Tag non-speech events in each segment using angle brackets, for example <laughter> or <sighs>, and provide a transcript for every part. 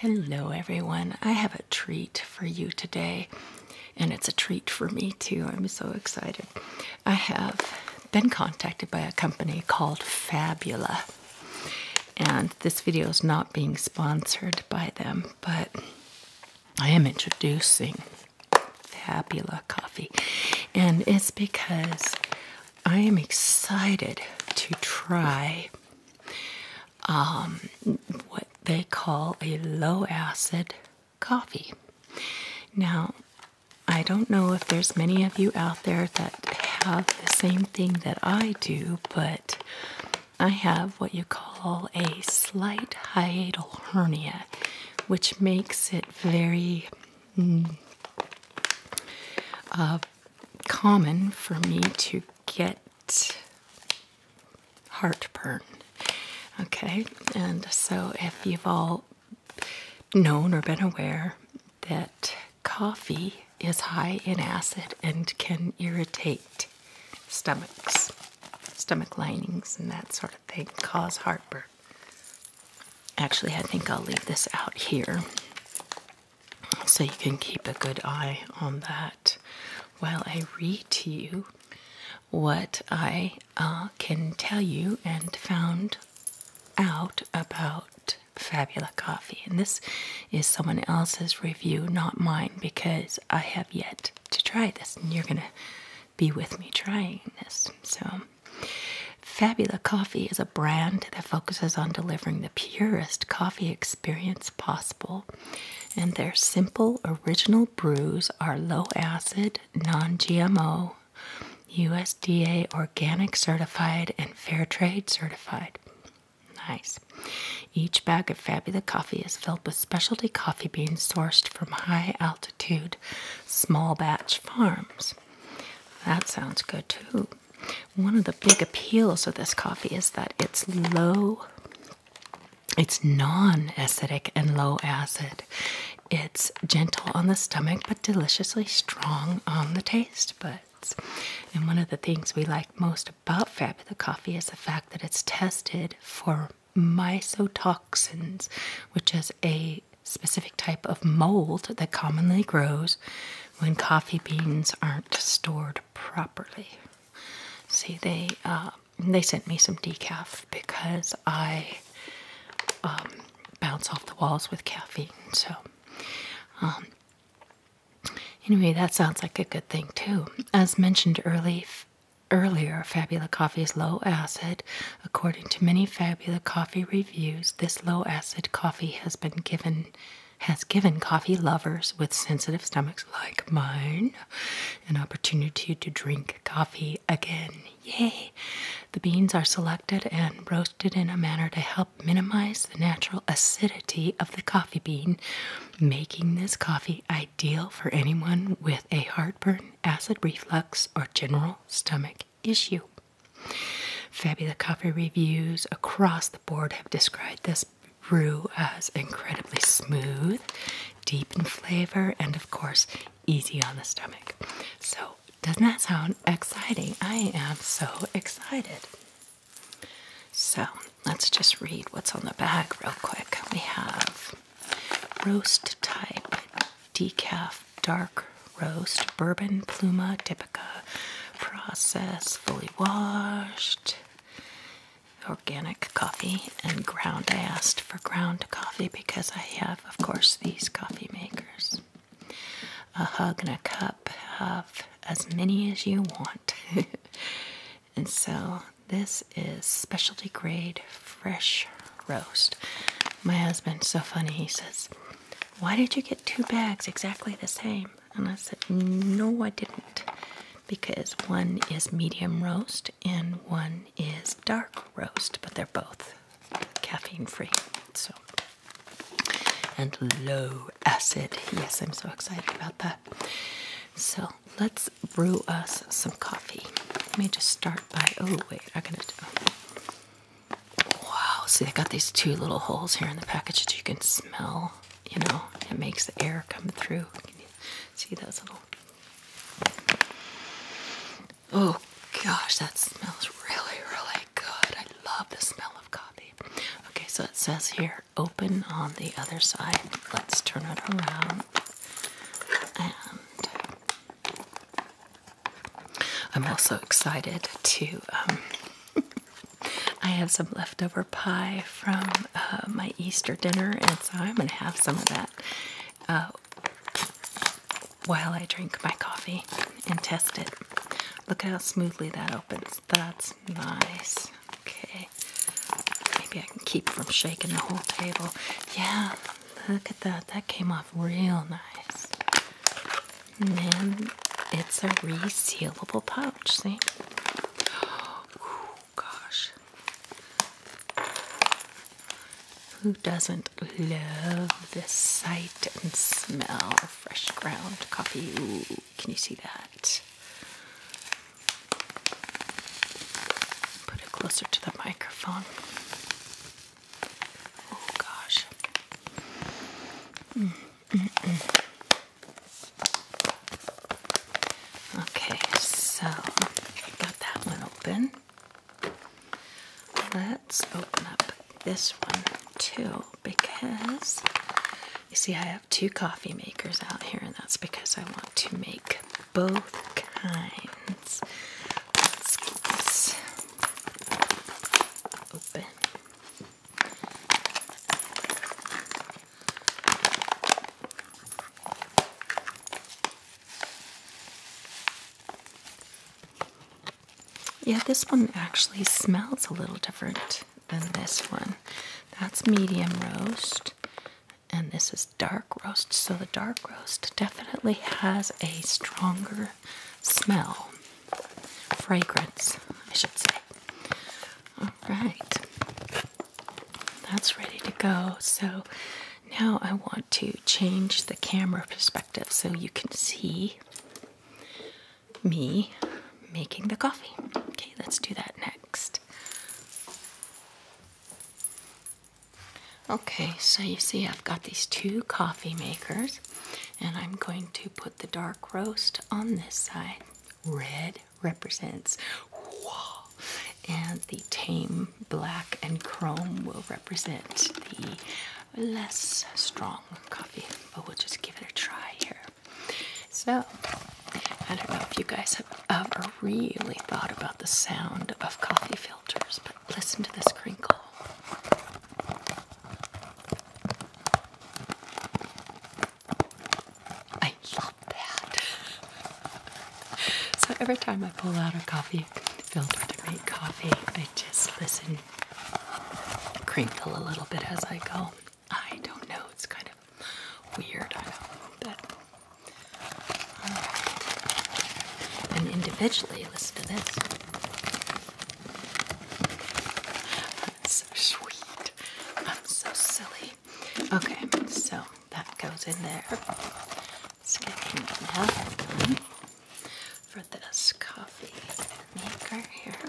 Hello, everyone. I have a treat for you today, and it's a treat for me too. I'm so excited. I have been contacted by a company called Fabula, and this video is not being sponsored by them, but I am introducing Fabula coffee, and it's because I am excited to try um, what they call a low acid coffee. Now, I don't know if there's many of you out there that have the same thing that I do, but I have what you call a slight hiatal hernia which makes it very mm, uh, common for me to get heartburn. Okay, and so if you've all known or been aware that coffee is high in acid and can irritate stomachs, stomach linings, and that sort of they cause heartburn. Actually, I think I'll leave this out here so you can keep a good eye on that while I read to you what I uh, can tell you and found out about Fabula Coffee. And this is someone else's review, not mine, because I have yet to try this. And you're going to be with me trying this. So, Fabula Coffee is a brand that focuses on delivering the purest coffee experience possible, and their simple original brews are low acid, non GMO, USDA organic certified, and fair trade certified. Nice. Each bag of Fabula coffee is filled with specialty coffee beans sourced from high altitude small batch farms. That sounds good too. One of the big appeals of this coffee is that it's low, it's non acidic and low acid. It's gentle on the stomach but deliciously strong on the taste buds. And one of the things we like most about Fabula Coffee is the fact that it's tested for mycotoxins, which is a specific type of mold that commonly grows when coffee beans aren't stored properly. See, they uh, they sent me some decaf because I um, bounce off the walls with caffeine. So, um, anyway, that sounds like a good thing too. As mentioned earlier earlier, Fabula coffee is low acid. According to many Fabula coffee reviews, this low acid coffee has been given has given coffee lovers with sensitive stomachs like mine an opportunity to drink coffee again. Yay! The beans are selected and roasted in a manner to help minimize the natural acidity of the coffee bean, making this coffee ideal for anyone with a heartburn, acid reflux, or general stomach issue. Fabula Coffee reviews across the board have described this brew as incredibly smooth, deep in flavor, and of course, easy on the stomach. So, doesn't that sound exciting? I am so excited. So, let's just read what's on the bag real quick. We have roast type decaf dark roast bourbon pluma typica process fully washed organic coffee and ground i asked for ground coffee because i have of course these coffee makers a hug and a cup have as many as you want <laughs> and so this is specialty grade fresh roast. My husband's so funny. He says, Why did you get two bags exactly the same? And I said, No, I didn't. Because one is medium roast and one is dark roast, but they're both caffeine free. So, and low acid. Yes, I'm so excited about that. So, let's brew us some coffee. Let me just start oh wait, I gotta do. wow, see they got these two little holes here in the package that you can smell, you know, it makes the air come through. Can you see those little, oh gosh, that smells really, really good. I love the smell of coffee. Okay, so it says here, open on the other side. Let's turn it around. And I'm also excited to. Um, <laughs> I have some leftover pie from uh, my Easter dinner, and so I'm going to have some of that uh, while I drink my coffee and test it. Look how smoothly that opens. That's nice. Okay. Maybe I can keep from shaking the whole table. Yeah, Look at that. That came off real nice. And then it's a resealable pouch. See? <gasps> Oh, gosh. Who doesn't love the sight and smell of fresh ground coffee? can you see that? Put it closer to the microphone. Oh gosh. Okay, so I got that one open. Let's open up this one too because you see, I have two coffee makers out here, and that's because I want to make both kinds. Let's get this open. Yeah, this one actually smells a little different than this one. That's medium roast, and this is dark roast. So the dark roast definitely has a stronger smell, fragrance, I should say. All right, that's ready to go. So now I want to change the camera perspective so you can see me making the coffee. Okay, let's do that next. Okay, so you see, I've got these two coffee makers, and I'm going to put the dark roast on this side. Red represents and the tame black and chrome will represent the less strong coffee, but we'll just give it a try here. So, I don't know if you guys have ever really thought about the sound of coffee filters, but Listen to this crinkle. I love that. so every time I pull out a coffee filter to make coffee, I just listen, crinkle a little bit as I go. I don't know, it's kind of weird, I know, but and individually, listen to this. so sweet. I'm so silly. Okay, so that goes in there. Let's for this coffee maker here.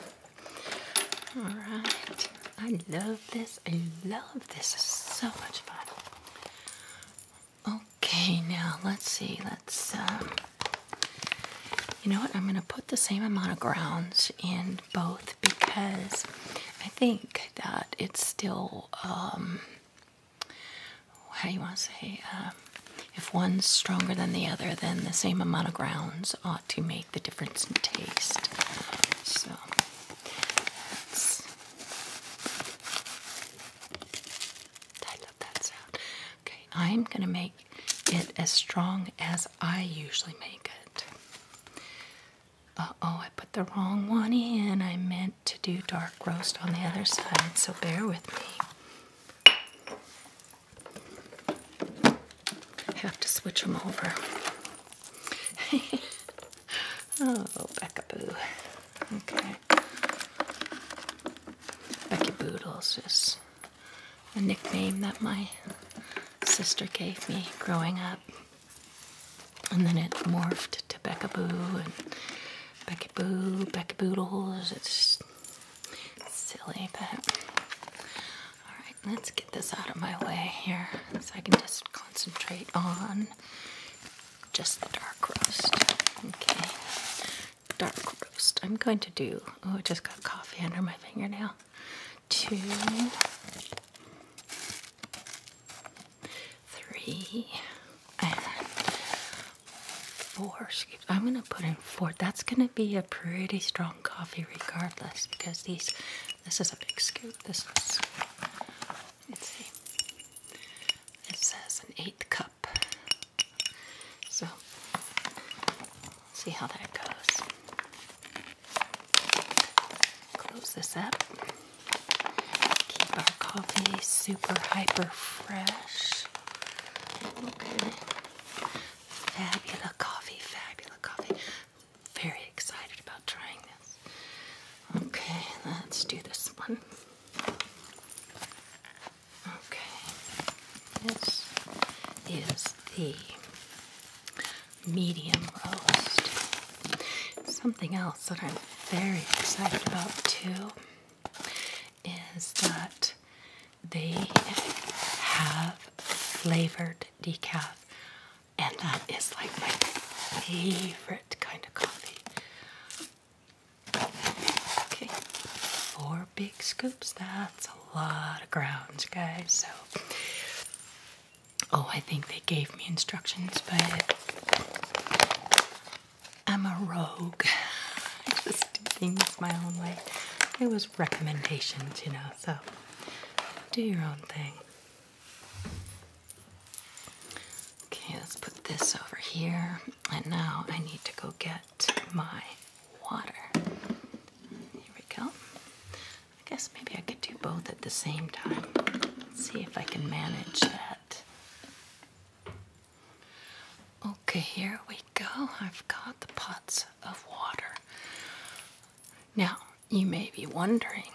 Alright. I love this. I love this. It's so much fun. Okay, now let's see. Let's, um, you know what? I'm going to put the same amount of grounds in both because I think that it's still, um, how do you want to say? Um, if one's stronger than the other, then the same amount of grounds ought to make the difference in taste. So, I love that sound. Okay, I'm going to make it as strong as I usually make it. Uh oh, I put the wrong one in. I meant to do dark roast on the other side, so bear with me. Have to switch them over. <laughs> oh, Becca Boo. Okay. Becky Boodles is a nickname that my sister gave me growing up. And then it morphed to Becca Boo and Becky Boo, Becky Boodles. It's silly, but. Alright, let's get this out of my way here so I can just concentrate on just the dark roast. Okay, dark roast. I'm going to do, oh, I just got coffee under my fingernail. Two, three, and four scoops. I'm going to put in four. That's going to be a pretty strong coffee regardless because these, this is a big scoop. This is, let's see, it says an eighth cup. So, see how that goes. Close this up. Keep our coffee super hyper fresh. Okay. Fabula coffee, fabula coffee. Very excited about trying this. Okay, let's do this one. Okay, this is the medium roast. Something else that I'm very excited about too is that they have flavored decaf, and that is like my favorite kind of coffee. Okay, four big scoops. That's a lot of grounds, guys. So, oh, I think they gave me instructions, but I'm a rogue. <laughs> I just do things my own way. It was recommendations, you know, so do your own thing. Okay, let's put this over here. And now I need to go get at my water. Here we go. I guess maybe I could do both at the same time. Let's see if I can manage that. Okay, here we go. I've got the pots of water. Now, you may be wondering,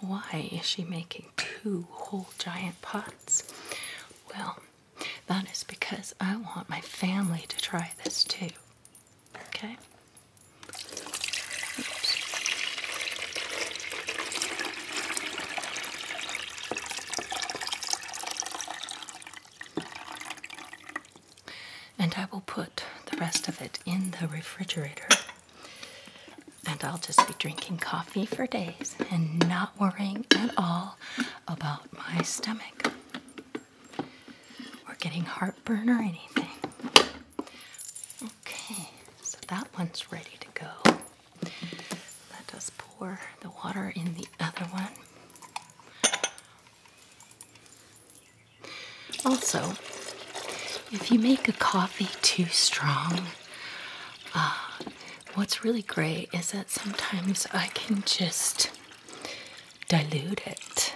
why is she making two whole giant pots? Well, that is because I want my family to try this too. Okay? And I will put the rest of it in the refrigerator. And I'll just be drinking coffee for days and not worrying at all about my stomach or getting heartburn or anything. Okay, so that one's ready to go. Let us pour the water in the other one. Also, if you make a coffee too strong, uh, what's really great is that sometimes I can just dilute it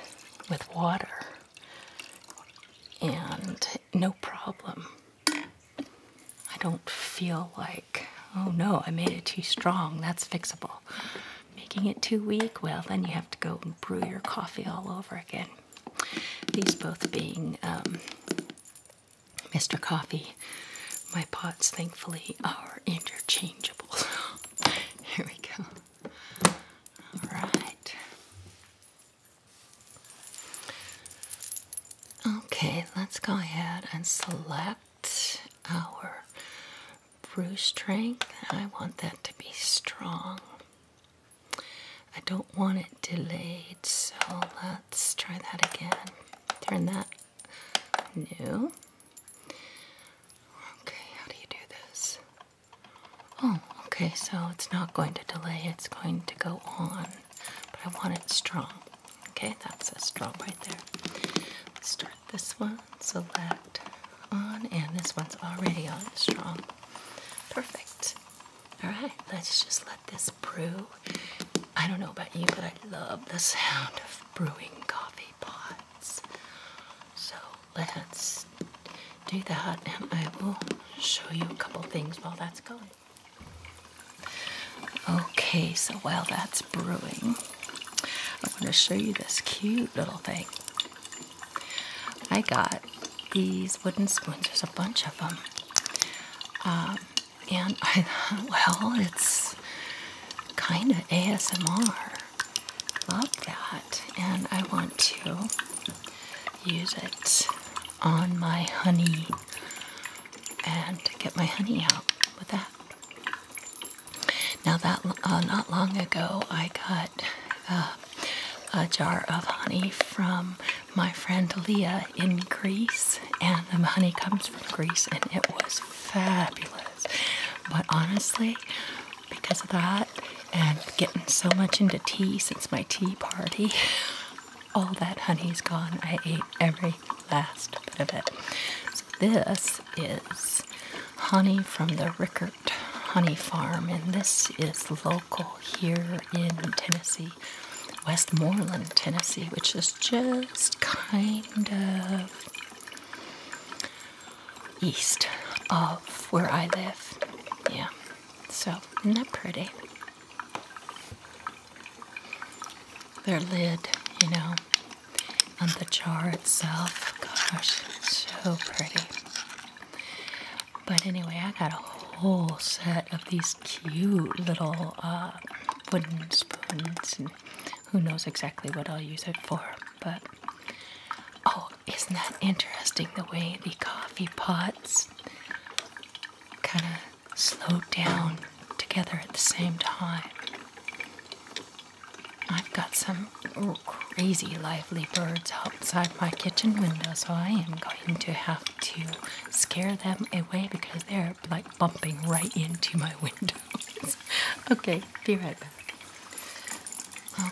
with water and no problem. I don't feel like, oh no, I made it too strong, that's fixable. Making it too weak, well, then you have to go and brew your coffee all over again. These both being um, Mr. Coffee, my pots thankfully are interchangeable. <laughs> Here we go. All right. Okay, let's go ahead and select our brew strength. I want that to be strong. I don't want it delayed, so let's try that again. Turn that New. Okay, how do you do this? Oh, okay, so it's not going to delay, it's going to go on. But I want it strong. Okay, that's a strong right there. start this one, select on, and this one's already on strong. Perfect. Alright, let's just let this brew. I don't know about you, but I love the sound of brewing coffee pots. So let's do that and I will show you a couple things while that's going. Okay, so while that's brewing, I am going to show you this cute little thing. I got these wooden spoons. There's a bunch of them. Um, and I thought, <laughs> well, it's kind of ASMR. Love that. And I want to use it on my honey and get my honey out with that. Now that uh, not long ago, I got uh, a jar of honey from my friend Leah in Greece, and the honey comes from Greece, and it was fabulous. But honestly, because of that and getting so much into tea since my tea party, <laughs> all that honey's gone. I ate every last bit of it. So this is honey from the Rickert Honey Farm, and this is local here in Tennessee, Westmoreland, Tennessee, which is just kind of east of where I live. Yeah. So, isn't that pretty? Their lid, you know, and the jar itself. Gosh, so pretty. But anyway, I got a whole set of these cute little uh, wooden spoons who knows exactly what I'll use it for. But oh, isn't that interesting the way the coffee pots kind of slow down together at the same time? I've got some crazy lively birds outside my kitchen window, so I am going to have to scare them away because they're like bumping right into my windows. <laughs> okay, be right back.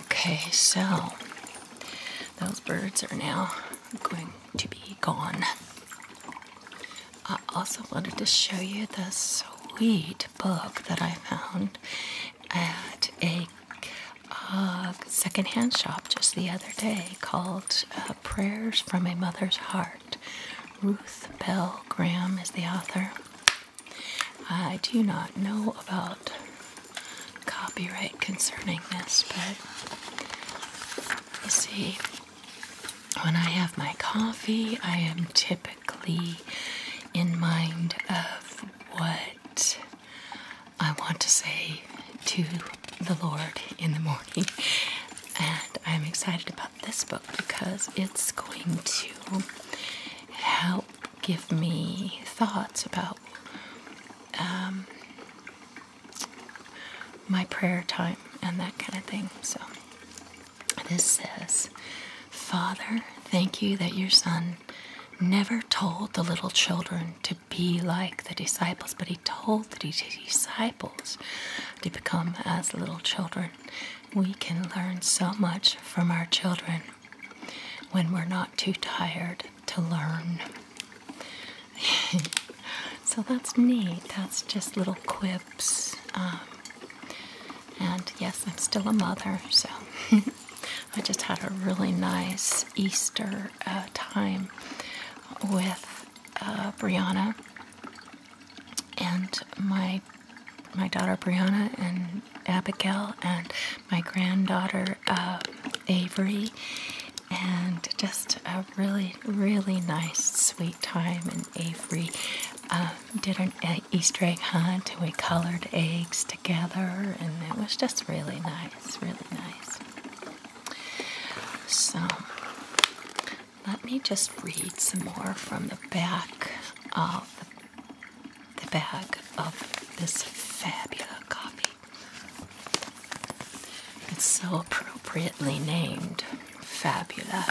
Okay, so those birds are now going to be gone. I also wanted to show you this sweet book that I found at a uh, second-hand shop just the other day called uh, Prayers from a Mother's Heart. Ruth Bell Graham is the author. I do not know about copyright concerning this, but you see, when I have my coffee, I am typically in mind of what I want to say to the Lord in the morning. <laughs> And I'm excited about this book because it's going to help give me thoughts about um, my prayer time and that kind of thing. So, this says, Father, thank you that your son never told the little children to be like the disciples, but he told the disciples to become as little children. We can learn so much from our children when we're not too tired to learn. <laughs> so that's neat. That's just little quips. Um, and yes, I'm still a mother, so <laughs> I just had a really nice Easter uh, time with uh, Brianna and my my daughter Brianna and Abigail and my granddaughter uh, Avery and just a really really nice sweet time and Avery uh, did an Easter egg hunt and we colored eggs together and it was just really nice really nice so let me just read some more from the back of the bag of this fabulous copy. It's so appropriately named Fabula.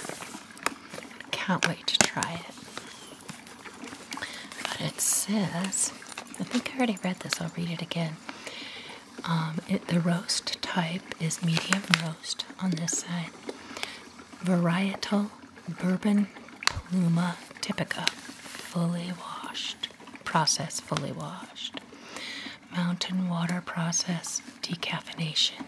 Can't wait to try it. But it says, I think I already read this, I'll read it again. Um, the roast type is medium roast on this side, varietal Bourbon Pluma Typica, fully washed, processed, fully washed. Mountain water processed, decaffeination.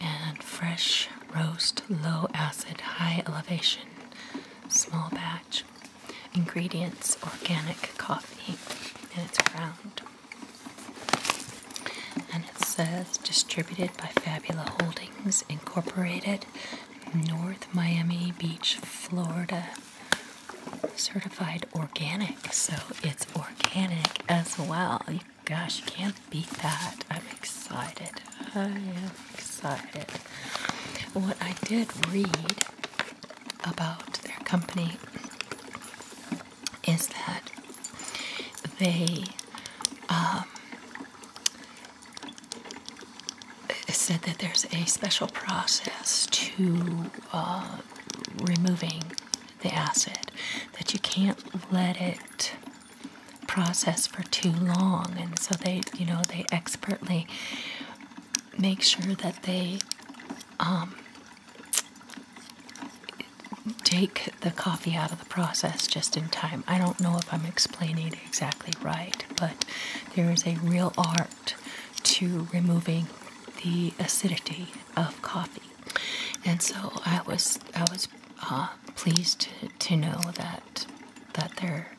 And fresh roast, low acid, high elevation, small batch. Ingredients organic coffee, and it's ground. And it says distributed by Fabula Holdings Incorporated, North Miami Beach, Florida. Certified organic, so it's organic as well. Gosh, you can't beat that. I'm excited. I am excited. What I did read about their company is that they um, said that there's a special process to uh, removing the acid, that you can't let it process for too long. And so they, you know, they expertly make sure that they um, take the coffee out of the process just in time. I don't know if I'm explaining it exactly right, but there is a real art to removing the acidity of coffee. And so I was I was uh, pleased to, know that that there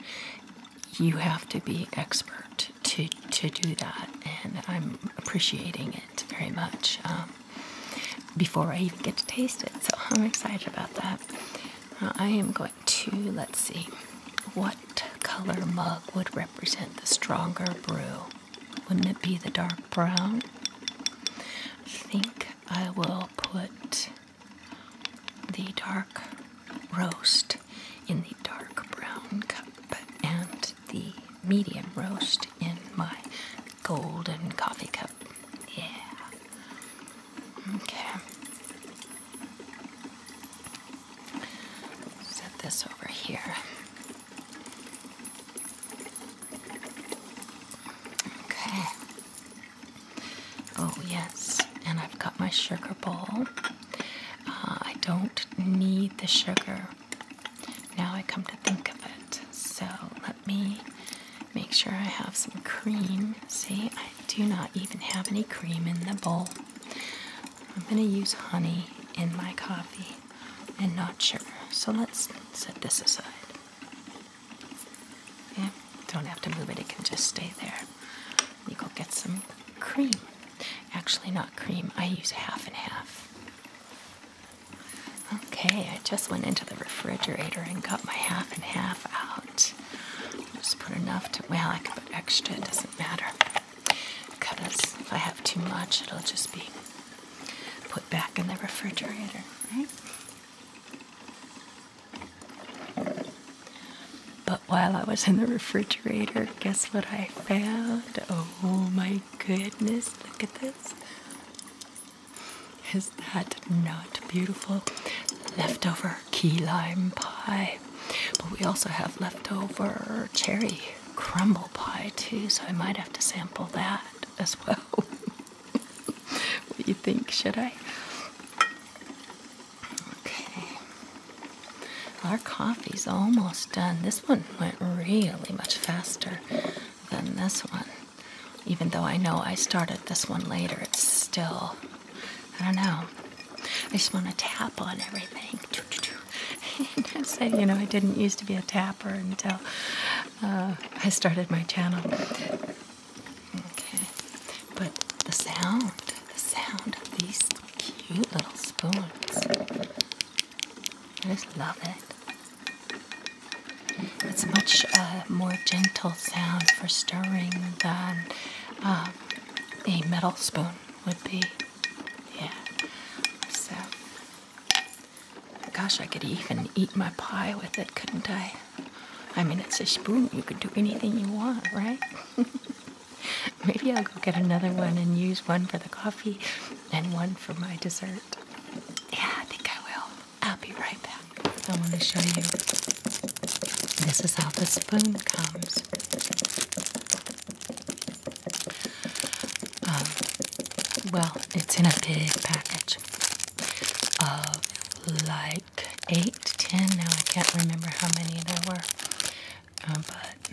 you have to be expert to to do that, and I'm appreciating it very much. Um, before I even get to taste it. So I'm excited about that. I am going to, let's see, what color mug would represent the stronger brew? Wouldn't it be the dark brown? I think I will put the dark roast in the dark brown cup and the medium roast in my golden coffee cup. Yeah. Okay. Set this over here. Okay. Oh, yes. And I've got my sugar bowl. Uh, I don't need the sugar. Now I come to think of it. So let me make sure I have some cream. See, I do not even have any cream in the bowl. I'm going to use honey in my coffee and not sure. So let's set this aside. Yeah, don't have to move it, it can just stay there. You go get some cream. Actually, not cream, I use half and half. Okay, I just went into the refrigerator and got my half and half out. Just put enough to, well, I can put extra, it doesn't matter. Because if I have too much, it'll just be put back in the refrigerator, right? But while I was in the refrigerator, guess what I found? Oh my goodness, look at this. Is that not beautiful? Leftover key lime pie. But we also have leftover cherry crumble pie too, so I might have to sample that as well. <laughs> what do you think? Should I? Okay. Our coffee's almost done. This one went really much faster than this one. Even though I know I started this one later, it's still, I don't know. I just want to tap on everything. I <laughs> said, you know, I didn't used to be a tapper until uh, I started my channel. Okay. But the sound, the sound of these cute little spoons. I just love it. It's a much uh, more gentle sound for stirring than uh, a metal spoon would be. Yeah. So, gosh, I could even eat my pie with it, couldn't I? I mean, it's a spoon. You could do anything you want, right? <laughs> Maybe I'll go get another one and use one for the coffee and one for my dessert. Yeah, I think I will. I'll be right back. I want to show you. This is how the spoon comes. Um, well, it's in a big package of like eight to ten. Now I can't remember how many there were, uh, but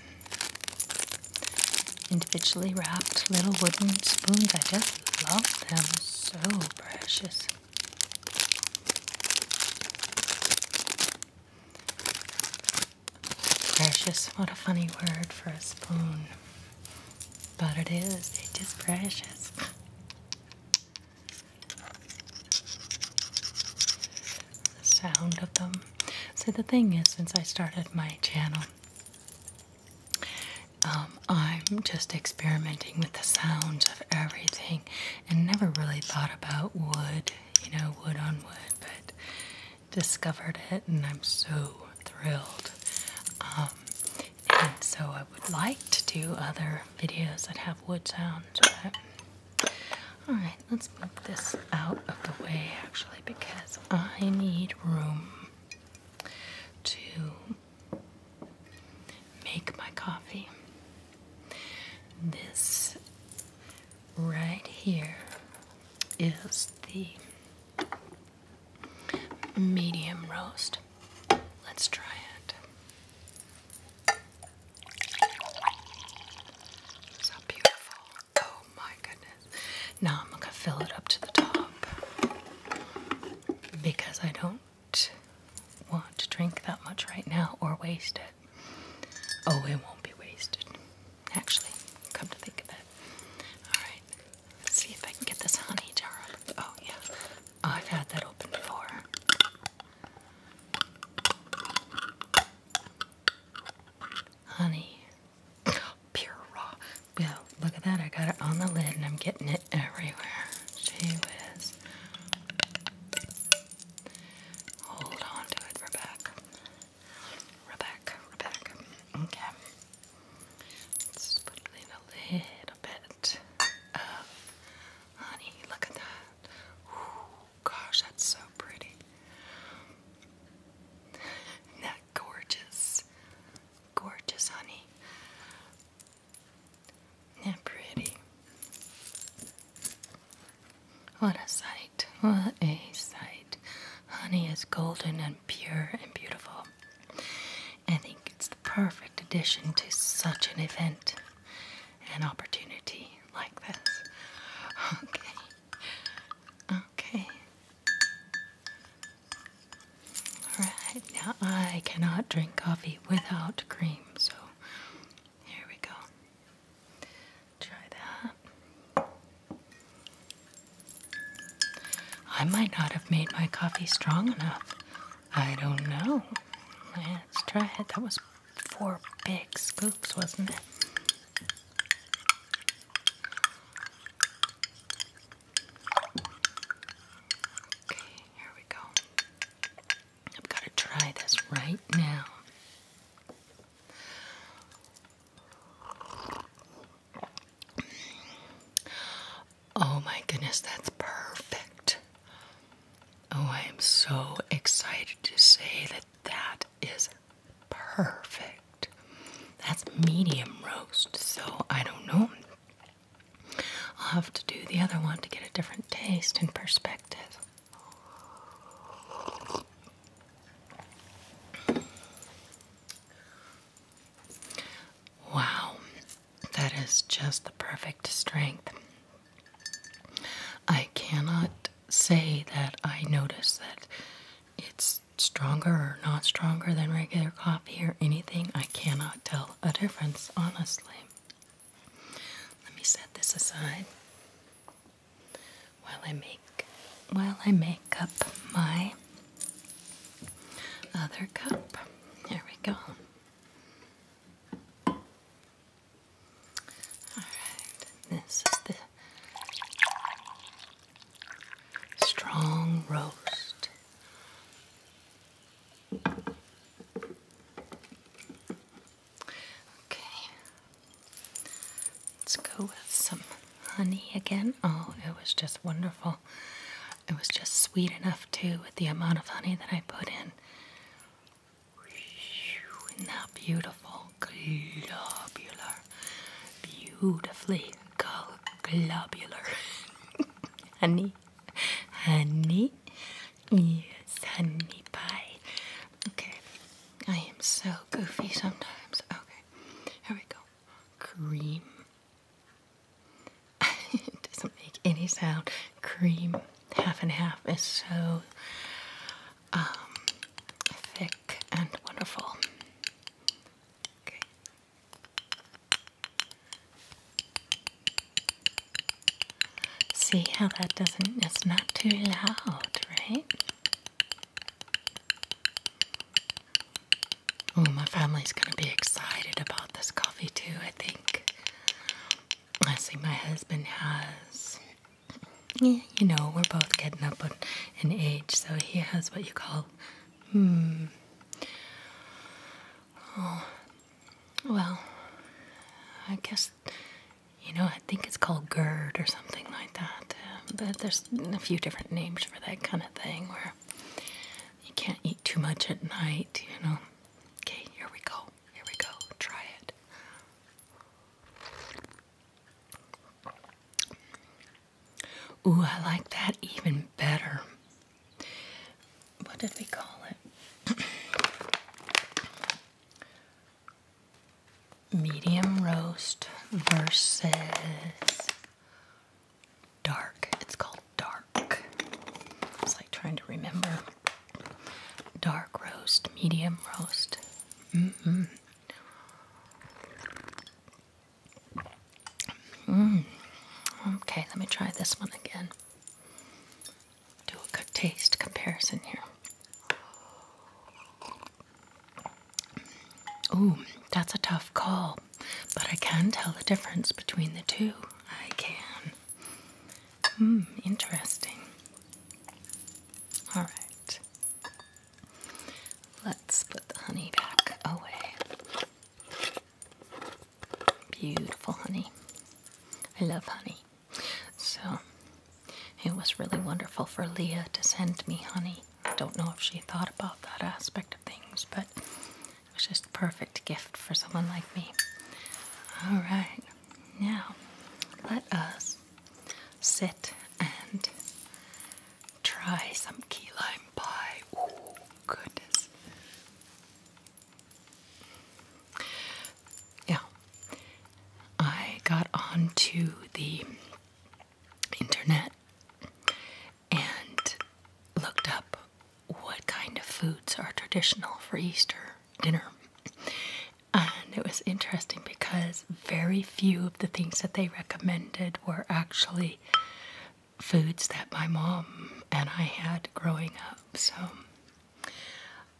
individually wrapped little wooden spoons. I just love them so precious. Precious, what a funny word for a spoon. But it is, it is precious. the sound of them. So the thing is, since I started my channel, um, I'm just experimenting with the sounds of everything and never really thought about wood, you know, wood on wood, but discovered it and I'm so thrilled. Um, and so I would like to do other videos that have wood sounds, but alright, let's move this out of the way actually because I need room to make my coffee. This right here is the medium roast. Let's try it. So beautiful. Oh my goodness. Now I'm going to fill it up to the top because I don't want to drink that much right now or waste it. Oh, it won't be wasted. Actually, come to think of it. Alright, let's see if I can get this honey jar Oh, yeah. I've had that open before. Honey. <gasps> Pure raw. Well, look at that. I got it on the lid and I'm getting it everywhere. she whiz. Hold on to it, Rebecca. Rebecca, Rebecca. Okay. Let's put in a little bit of honey. Uh, Look at that. Ooh, gosh, that's so pretty. that gorgeous? Gorgeous honey is pretty? What a sight, what a sight. Honey is golden and pure and beautiful. I think it's the perfect addition to such an event, an opportunity like this. Okay, okay. Alright, now I cannot drink coffee without cream, so here we go. Try that. I might not have made my coffee strong enough. I don't know. Let's try it. That was four big scoops, wasn't it? Okay here we go. I've got to try this right now. Oh my goodness, that's perfect. Oh, I am so excited to say that that is perfect. That's medium roast, so I don't know. I'll have to do the other one to get a different taste and perspective. Wow, that is just the perfect strength. I cannot say that I notice that it's stronger or not stronger than regular coffee or anything. I cannot tell a difference, honestly. Let me set this aside while I make while I make up my other cup. There we go. All right, this is the strong roast Okay. Let's go with some honey again. Oh, it was just wonderful. It was just sweet enough too with the amount of honey that I put in. is beautiful? Globular. Beautifully globular. <laughs> honey honey, yes, honey pie. Okay, I am so goofy sometimes. Okay, here we go. Cream. <laughs> it doesn't make any sound. Cream, half and half, is so um, thick and wonderful. Okay. See how that doesn't, it's not too loud, right? Oh, my family's gonna be excited about this coffee too, I think. I see my husband has. Yeah, you know, we're both getting up in age, so he has what you call. Hmm. Oh, well, I guess, you know, I think it's called GERD or something like that. Um, but there's a few different names for that kind of thing where you can't eat too much at night, you know. Okay, here we go. Here we go. Try it. Ooh, I like that even better what did we call it? Medium roast versus dark. It's called dark. It's like trying to remember. Dark roast, medium roast. Mm Mm. Okay, let me try this one again do a good taste comparison here. Ooh, that's a tough call, but I can tell the difference between the two. I can. Hmm, interesting. All right. Let's put the honey back away. Beautiful honey. I love honey. So it was really wonderful for Leah to send me honey. I don't know if she thought about that aspect of things, but it was just a perfect gift for someone like me. All right, now let us sit and try some key lime pie. Oh, goodness. Yeah. I got onto the internet and looked up what kind of foods are traditional for Easter dinner. And it was interesting because very few of the things that they recommended were actually foods that my mom and I had growing up. So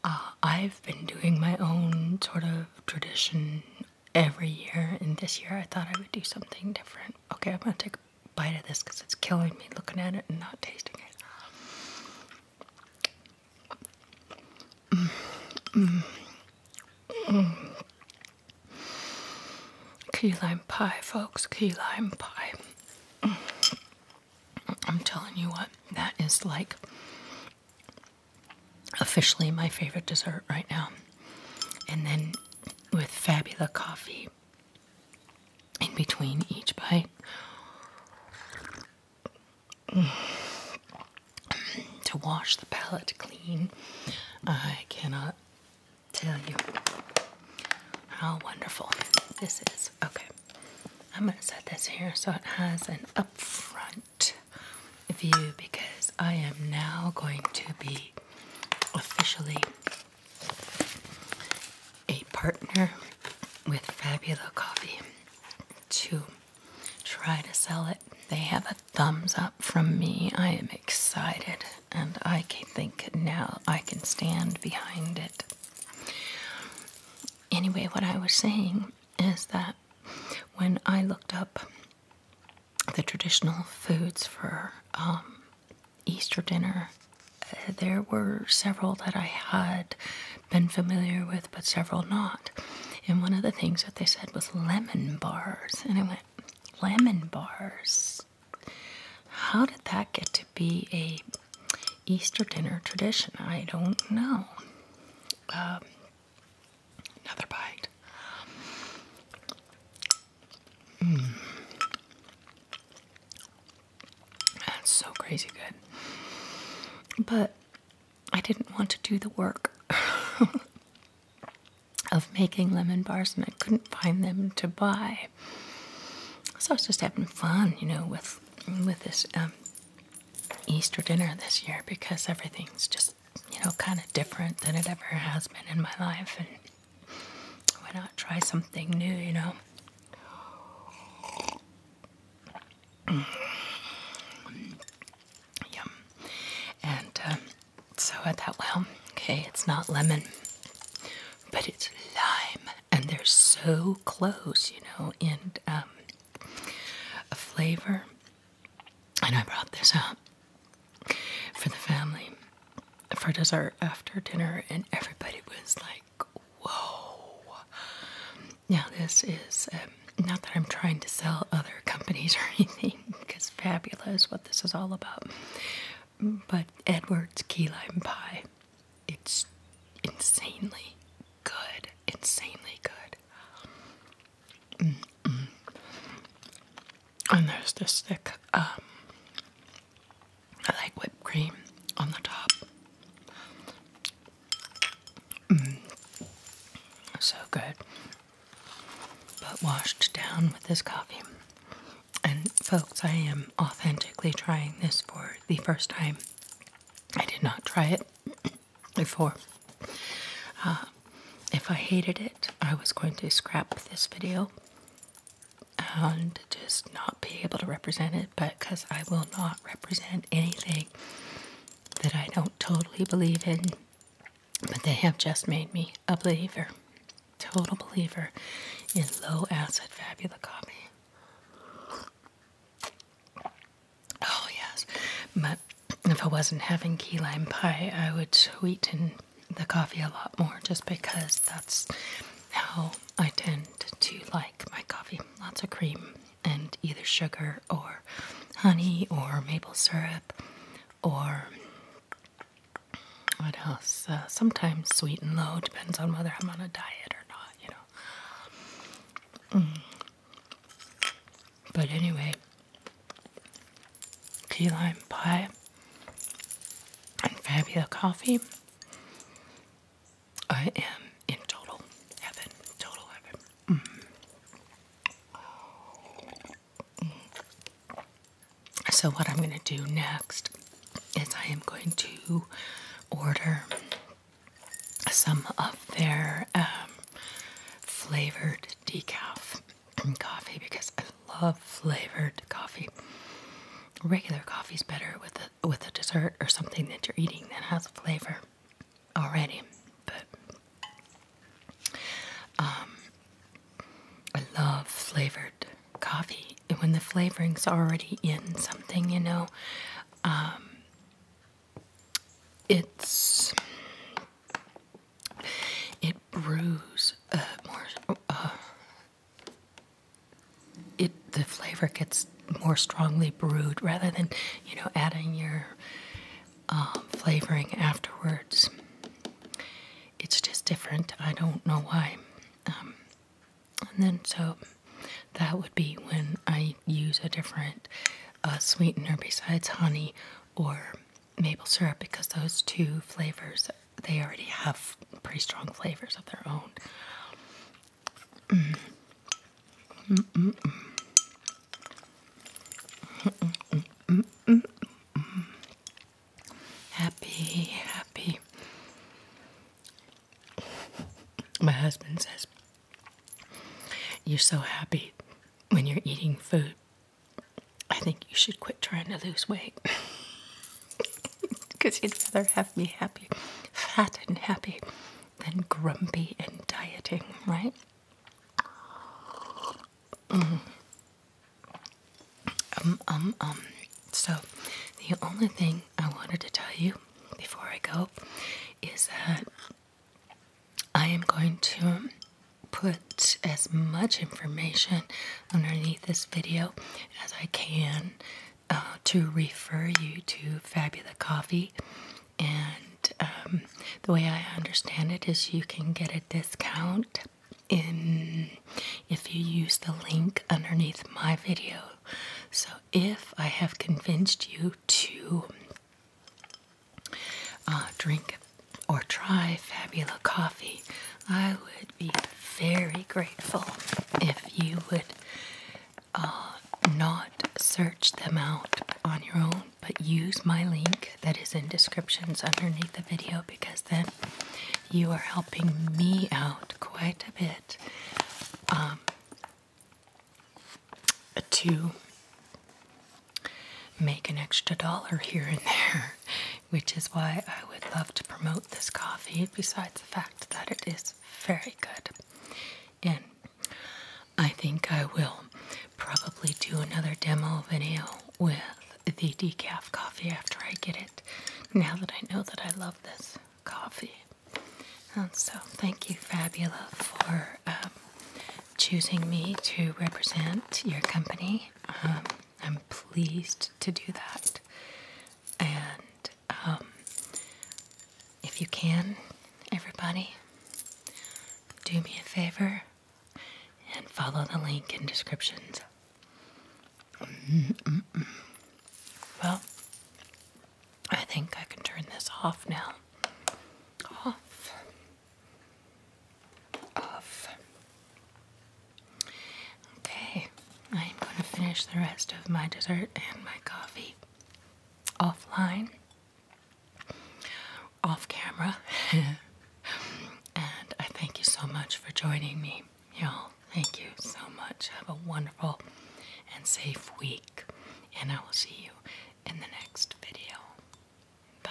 uh, I've been doing my own sort of tradition every year, and this year I thought I would do something different. Okay, I'm gonna take a bite of this because it's killing me looking at it and not tasting it. Key lime pie, folks, key lime pie. I'm telling you what, that is like officially my favorite dessert right now. And then with Fabula coffee in between each bite. <sighs> To wash the palate clean, I cannot tell you how wonderful this is. Okay. I'm going to set this here so it has an upfront view because I am now going to be officially a partner with Fabula Coffee to try to sell it. They have a thumbs up from me. I am excited and I think now I can stand behind it anyway, what I was saying is that when I looked up the traditional foods for um, Easter dinner, eh, there were several that I had been familiar with, but several not. And one of the things that they said was lemon bars. And I went, lemon bars? How did that get to be a Easter dinner tradition. I don't know. Um, another bite. Mm. That's so crazy good. But I didn't want to do the work <laughs> of making lemon bars, and I couldn't find them to buy. So I was just having fun, you know, with with this um, Easter dinner this year because everything's just, you know, kind of different than it ever has been in my life. And why not try something new, you know? <clears throat> Yum. And um, so I thought, well, okay, it's not lemon, but it's lime and they're so close, you know, in um, a flavor. And I brought this up for the family for dessert after dinner, and everybody was like, "Whoa!" Now this is um, not that I'm trying to sell other companies <laughs> or anything, because Fabula is what this is all about. But Edward's key lime pie it's insanely good, insanely good. Mm-hmm. And there's the thick, um, like whipped cream on the top. Mm. So good, but washed down with this coffee. And folks, I am authentically trying this for the first time I did not try it <clears throat> before. Uh, if I hated it, I was going to scrap this video and just not be able to represent it, but because I will not represent anything that I don't totally believe in, but they have just made me a believer, total believer in low acid fabula coffee. Oh, yes. But if I wasn't having key lime pie, I would sweeten the coffee a lot more just because that's how I tend to like my coffee. Lots of cream and either sugar or honey or maple syrup or what else? Uh, sometimes sweet and low, depends on whether I'm on a diet or not, you know. Mm. But anyway, key lime pie and Fabula coffee. I am in total heaven, total heaven. Mm. So, what I'm going to do next is I am going to order some of their um, flavored decaf coffee because I love flavored coffee. Regular coffee is better with a with a dessert or something that you're eating that has a flavor already. But um, I love flavored coffee, and when the flavorings already in something, you know, um, it's it brews uh, more. Uh, it the flavor gets more strongly brewed rather than you know adding your um, flavoring afterwards. It's just different. I don't know why. Um, and then so that would be when I use a different sweetener besides honey or maple syrup because those two flavors they already have pretty strong flavors of their own. Happy, happy. My husband says, You're so happy when you're eating food. I think you should quit trying to lose weight. Because <laughs> you'd rather have me happy, fat and happy, than grumpy and dieting, right? Mm-hmm. Um, um, um. So, the only thing I wanted to tell you before I go is that I am going to put as much information underneath this video as I can uh, to refer you to Fabula Coffee. And um, the way I understand it is you can get a discount in if you use the link underneath my video. So if I have convinced you to uh, drink or try Fabula Coffee, I would be very grateful if you would uh, not search them out on your own, but use my link that is in descriptions underneath the video because then you are helping me out quite a bit. Um, to make an extra dollar here and there, which is why I would love to promote this coffee, besides the fact that it is very good. And I think I will probably do another demo video with the decaf coffee after I get it, now that I know that I love this coffee. And um, so, thank you, Fabula, for um, choosing me to represent your company. Um, I'm pleased to do that. And if you can, everybody, do me a favor and follow the link in descriptions. Mm-hmm. Well, I think I can turn this off now. Off. Off. Okay, I am going to finish the rest of my dessert and my coffee offline, off camera. <laughs> and I thank you so much for joining me, y'all. Thank you so much. Have a wonderful and safe week and I will see you in the next video. Bye.